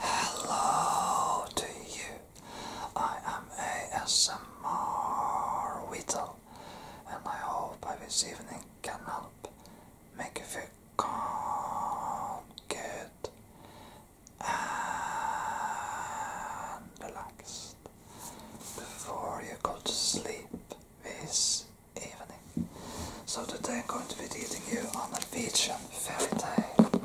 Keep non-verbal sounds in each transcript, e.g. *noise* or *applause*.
Hello to you. I am ASMR whittle, and I hope this evening can help make you feel calm, good, and relaxed before you go to sleep this evening. So today I'm going to be leading you on a beach and fairy tale.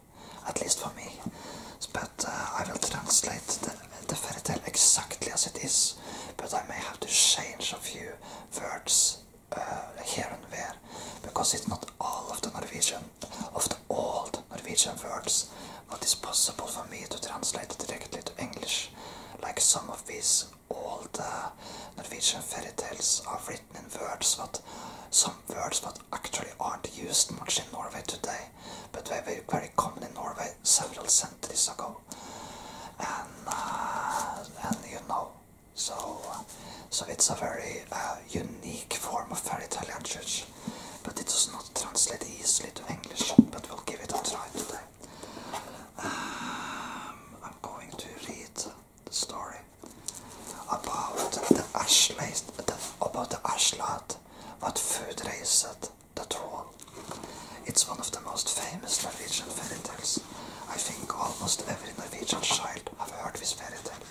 at least for me. But uh, I will translate the, fairy tale exactly as it is, but I may have to change a few words uh, here and there because it's not all of the Norwegian, of the old Norwegian words, what is possible for me to translate directly to English, like some of these old uh, Norwegian fairy tales are written in words, but some words that actually aren't used much in Norway today, but they were very common in Norway several centuries ago. And, uh, and you know, so so it's a very uh, unique form of fairy tale language, but it does not translate easily to English. But we'll give it a try today. Um, I'm going to read the story about the Ashland, the, about the Ashland what food raised the troll? It's one of the most famous Norwegian fairy tales. I think almost every Norwegian child have heard this fairy tale.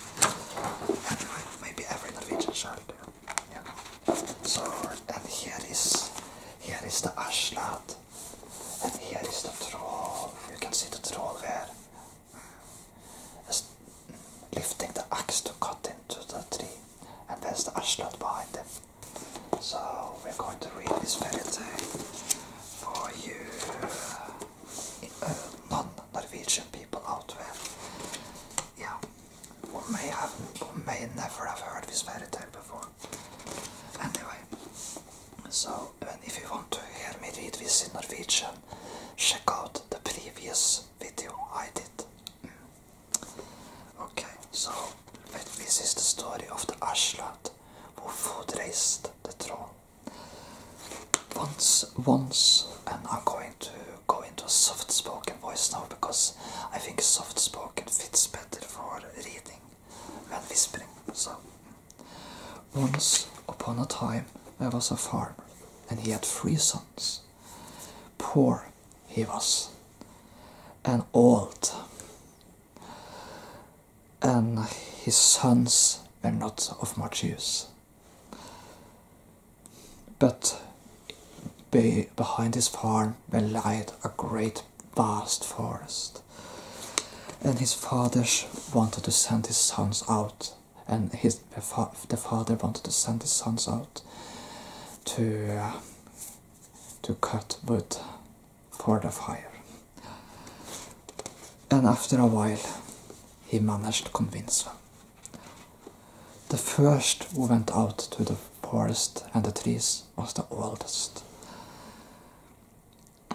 and maybe every Norwegian child. Yeah. So, and here is here is the Ashlad, and here is the troll. You can see the troll there lifting the axe to cut into the tree, and there's the ashland behind them. So we're going to read this fairy tale for you uh, non-Norwegian people out there. Yeah, who may have, who may never have heard this fairy tale before. Anyway, so if you want to hear me read this in Norwegian, check out the previous video I did. Mm. Okay, so this is the story of the Ashland who food raised the throne. Once, once, and I'm going to go into a soft spoken voice now because I think soft spoken fits better for reading than whispering. So, once upon a time, there was a farmer and he had three sons. Poor he was, and old, and his sons were not of much use. But behind his farm there a great vast forest, and his fathers wanted to send his sons out and his the father wanted to send his sons out to uh, to cut wood for the fire. And after a while, he managed to convince them. The first who went out to the forest and the trees was the oldest.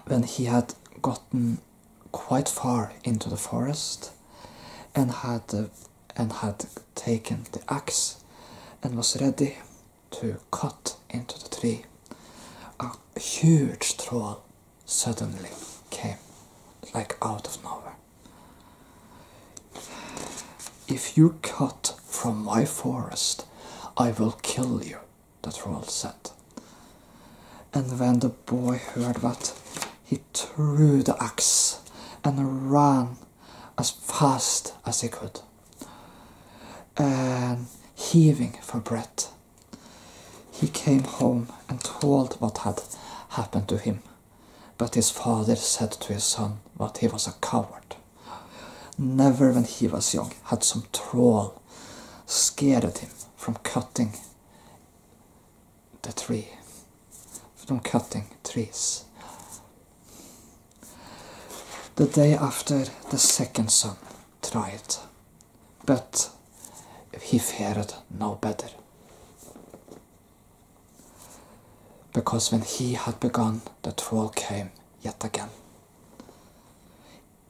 When he had gotten quite far into the forest and had and had taken the axe and was ready to cut into the tree. A huge troll suddenly came like out of nowhere. If you cut from my forest, I will kill you, the troll said. And when the boy heard that, he he threw the axe and ran as fast as he could, and um, heaving for breath. He came home and told what had happened to him, but his father said to his son that he was a coward. Never when he was young had some troll scared him from cutting the tree from cutting trees. The day after the second son tried, but he fared no better. Because when he had begun, the troll came yet again.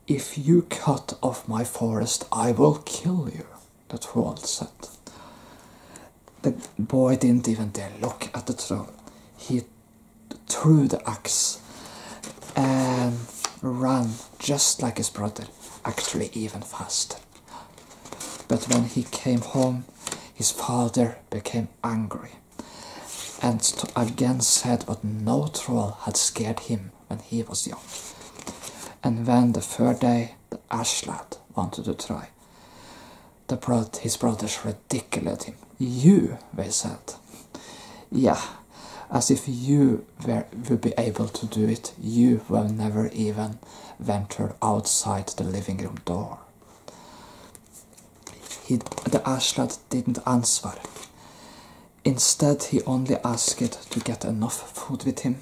If you cut off my forest, I will kill you that whole said, The boy didn't even dare look at the troll. He threw the axe and ran just like his brother, actually even faster. But when he came home, his father became angry and again said that no troll had scared him when he was young. And then the third day the ashlad wanted to try. The bro his brothers ridiculed him. You, they said. Yeah, as if you were, would be able to do it. You will never even venture outside the living room door. He, the ashlad didn't answer. Instead, he only asked to get enough food with him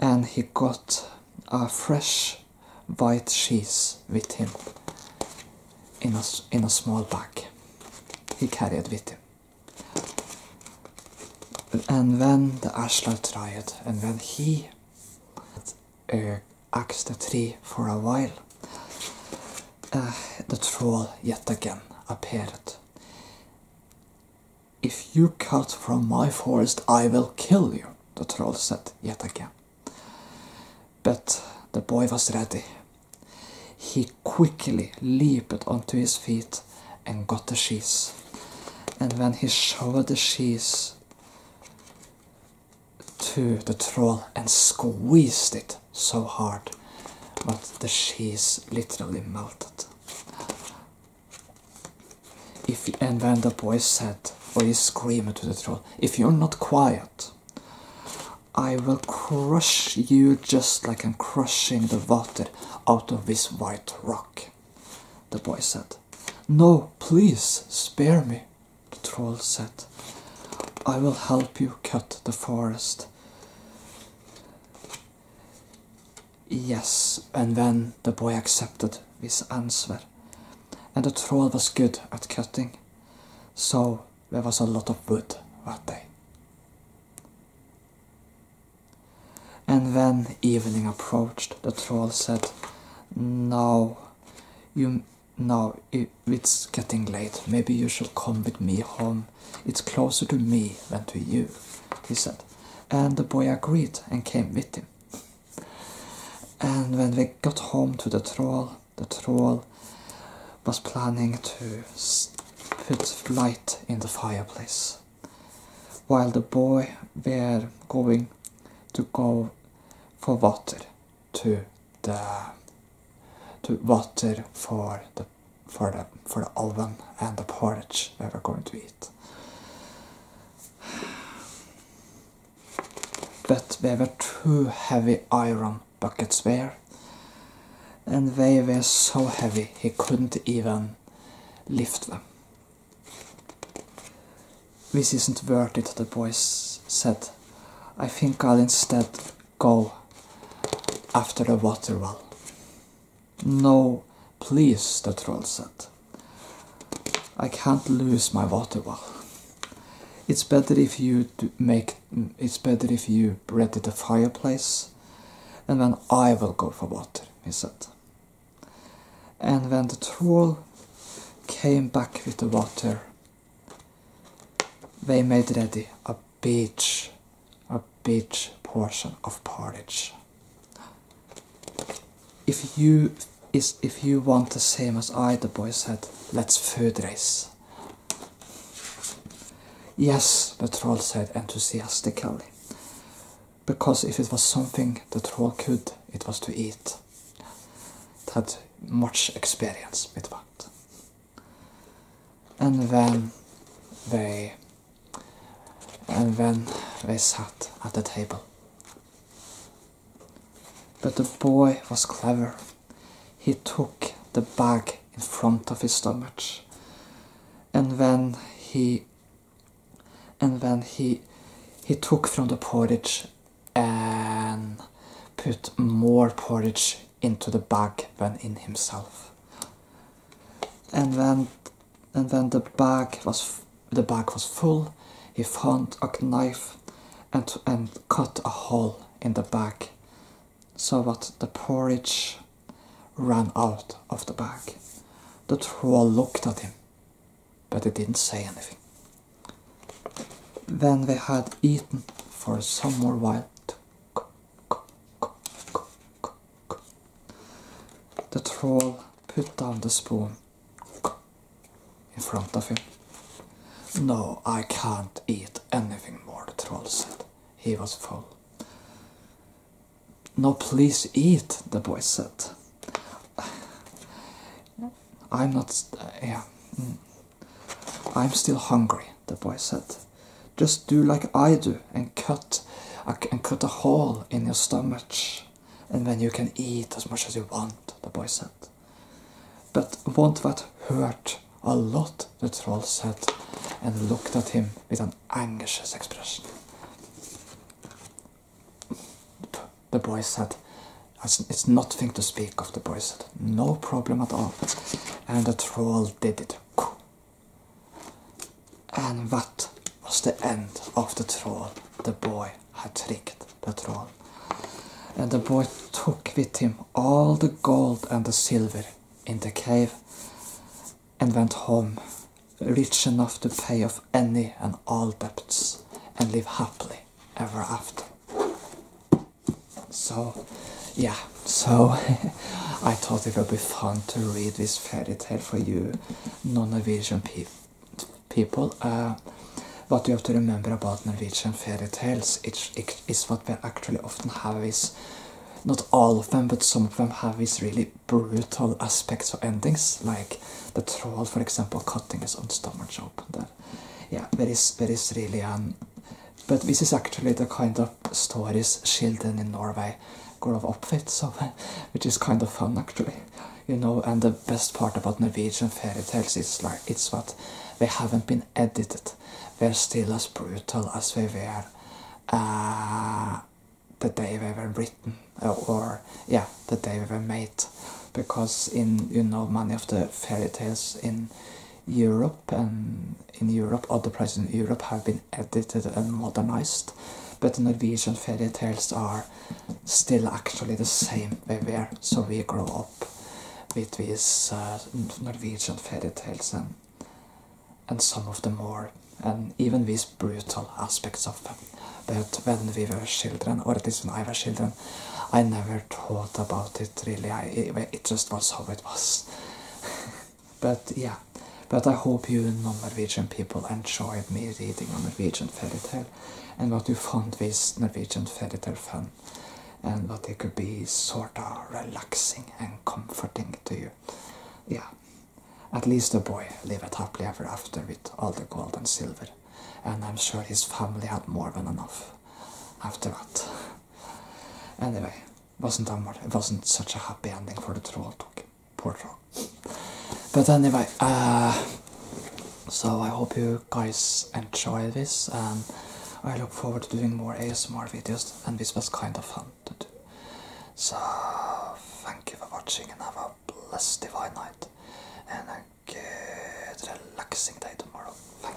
and he got a fresh white cheese with him in a, in a small bag he carried with him. And when the Ashlar tried, and when he uh, axed the tree for a while, uh, the troll yet again appeared if you cut from my forest, I will kill you, the troll said yet again. But the boy was ready. He quickly leaped onto his feet and got the shears, And when he showed the shears to the troll and squeezed it so hard, but the shears literally melted. If you, and then the boy said, or he screamed to the troll, If you're not quiet, I will crush you just like I'm crushing the water out of this white rock. The boy said, No, please, spare me. The troll said, I will help you cut the forest. Yes, and then the boy accepted this answer. And the troll was good at cutting, so there was a lot of wood that day. And when evening approached, the troll said, "Now, you, no, it's getting late. Maybe you should come with me home. It's closer to me than to you, he said. And the boy agreed and came with him. And when they got home to the troll, the troll was planning to put light in the fireplace. While the boy were going to go for water to the to water for the for the for the oven and the porridge that we're going to eat. But they were two heavy iron buckets there, and they were so heavy he couldn't even lift them. This isn't worth it, the boys said. I think I'll instead go after the water well. No, please, the troll said. I can't lose my water well. It's better if you make. It's better if you ready the fireplace, and then I will go for water. He said. And when the troll came back with the water, they made ready a big, a big portion of porridge. If you is if you want the same as I, the boy said, let's food race. Yes, the troll said enthusiastically. Because if it was something the troll could, it was to eat. It had much experience with that and then they and then they sat at the table. But the boy was clever. He took the bag in front of his stomach, and then he and then he he took from the porridge and put more porridge into the bag when in himself. And when and when the bag was the bag was full, he found a knife and and cut a hole in the bag, so that the porridge ran out of the bag. The troll looked at him, but he didn't say anything. Then they had eaten for some more while, the troll put down the spoon in front of him. No, I can't eat anything more, the troll said. He was full. No, please eat, the boy said. *sighs* I'm not. Uh, yeah. Mm. I'm still hungry the boy said. Just do like I do and cut and cut a hole in your stomach, and then you can eat as much as you want, the boy said. But won't that hurt a lot? the troll said, and looked at him with an anxious expression. The boy said, It's nothing to speak of, the boy said. No problem at all. And the troll did it. And that was the end of the troll. The boy had tricked the troll. And the boy took with him all the gold and the silver in the cave and went home, rich enough to pay off any and all debts and live happily ever after. So, yeah, so *laughs* I thought it would be fun to read this fairy tale for you non-Norwegian people. Uh, what you have to remember about Norwegian fairy tales is, what we actually often have is, not all of them, but some of them have these really brutal aspects or endings, like the troll, for example, cutting his own stomach open there. Yeah, there is, there is really an... But this is actually the kind of stories children in Norway grow up with, so *laughs* which is kind of fun actually, you know. And the best part about Norwegian fairy tales is like it's what they haven't been edited. They're still as brutal as they were uh, the day they were written, or, uh, or yeah, the day they were made. Because in you know many of the fairy tales in Europe and in Europe, other prices in Europe have been edited and modernized, but Norwegian fairy tales are still actually the same they were. So we grow up with these uh, Norwegian fairy tales and, and some of the more, and even these brutal aspects of them. But when we were children, or at least when I was children, I never thought about it really. it, just was how was. but yeah, but I hope you non-Norwegian people enjoyed me reading a Norwegian fairy tale, and what you found this Norwegian fairy tale fun, and what it could be sort of relaxing and comforting to you. Yeah, at least the boy lived happily ever after with all the gold and silver, and I'm sure his family had more than enough after that. Anyway, wasn't Denmark. It wasn't such a happy ending for the troll portal. But anyway, uh, so I hope you guys enjoy this, and I look forward to doing more ASMR videos. And this was kind of fun to do. So thank you for watching, and have a blessed divine night, and a good relaxing day tomorrow.